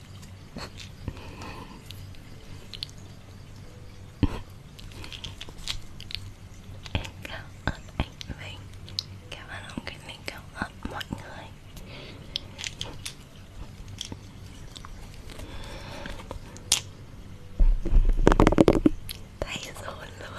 Em cảm ơn anh Vinh Cảm ơn ông Kinh Linh, cảm ơn mọi người Tay rồn luôn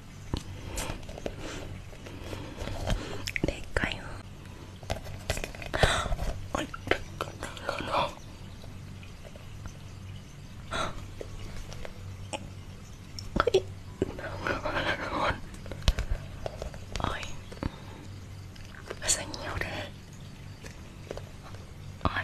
でっかいの。Ôi, luôn Ôi Sao nhiều thế Ôi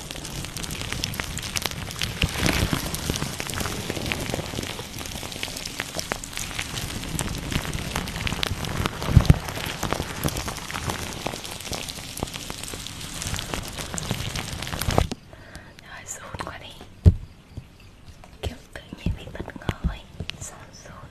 Rồi run quá đi Kiểu tự nhiên bị bất ngờ ấy Sao run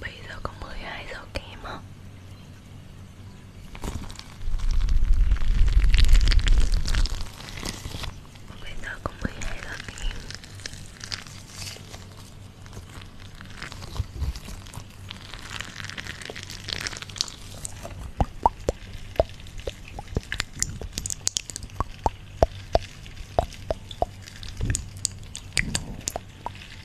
Bây giờ có 12 giờ kém hả? Bây giờ có 12 giờ kém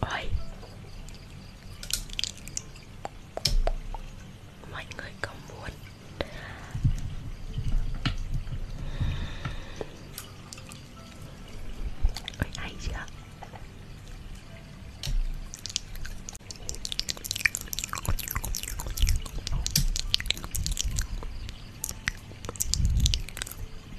Ôi Mọi người có muốn Ôi hay chưa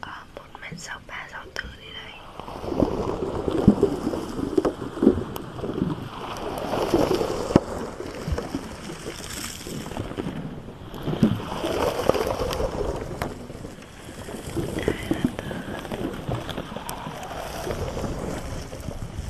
Ờ, 1 mét 63, 64 đi đây đây là từ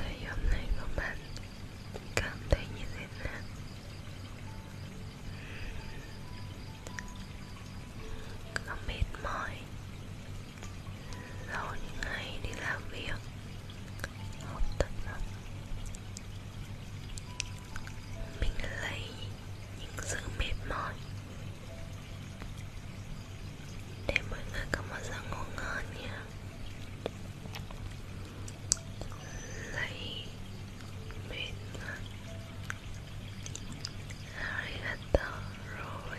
Ngày hôm nay của bạn cảm thấy như thế nào? Có mệt mỏi sau những ngày đi làm việc học tập lắm mình lấy những sự mệt mỏi để mọi người có một giấc ngủ ngon nhé lấy mệt mỏi arigato rồi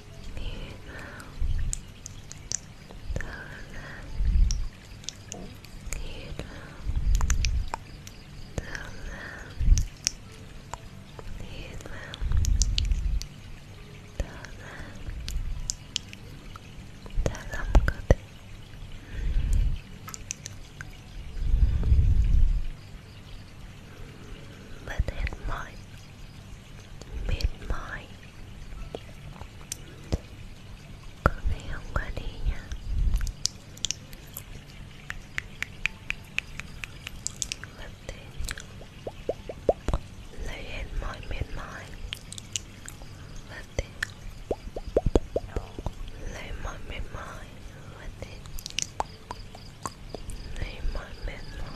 Bớt hết mọi mệt mỏi có ngày hôm qua đi nha lập tên lấy hết mọi mệt mỏi lập tên lấy mọi mệt mỏi lập tên lấy mọi mệt mỏi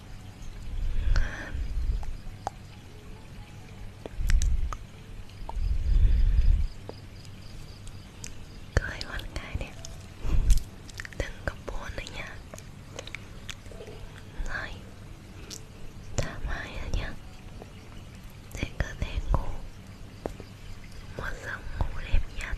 Cười con gái đi Đừng có buồn nữa nha Rồi Thoải mái rồi nha Để cơ thể ngủ Một giấc ngủ đẹp nhất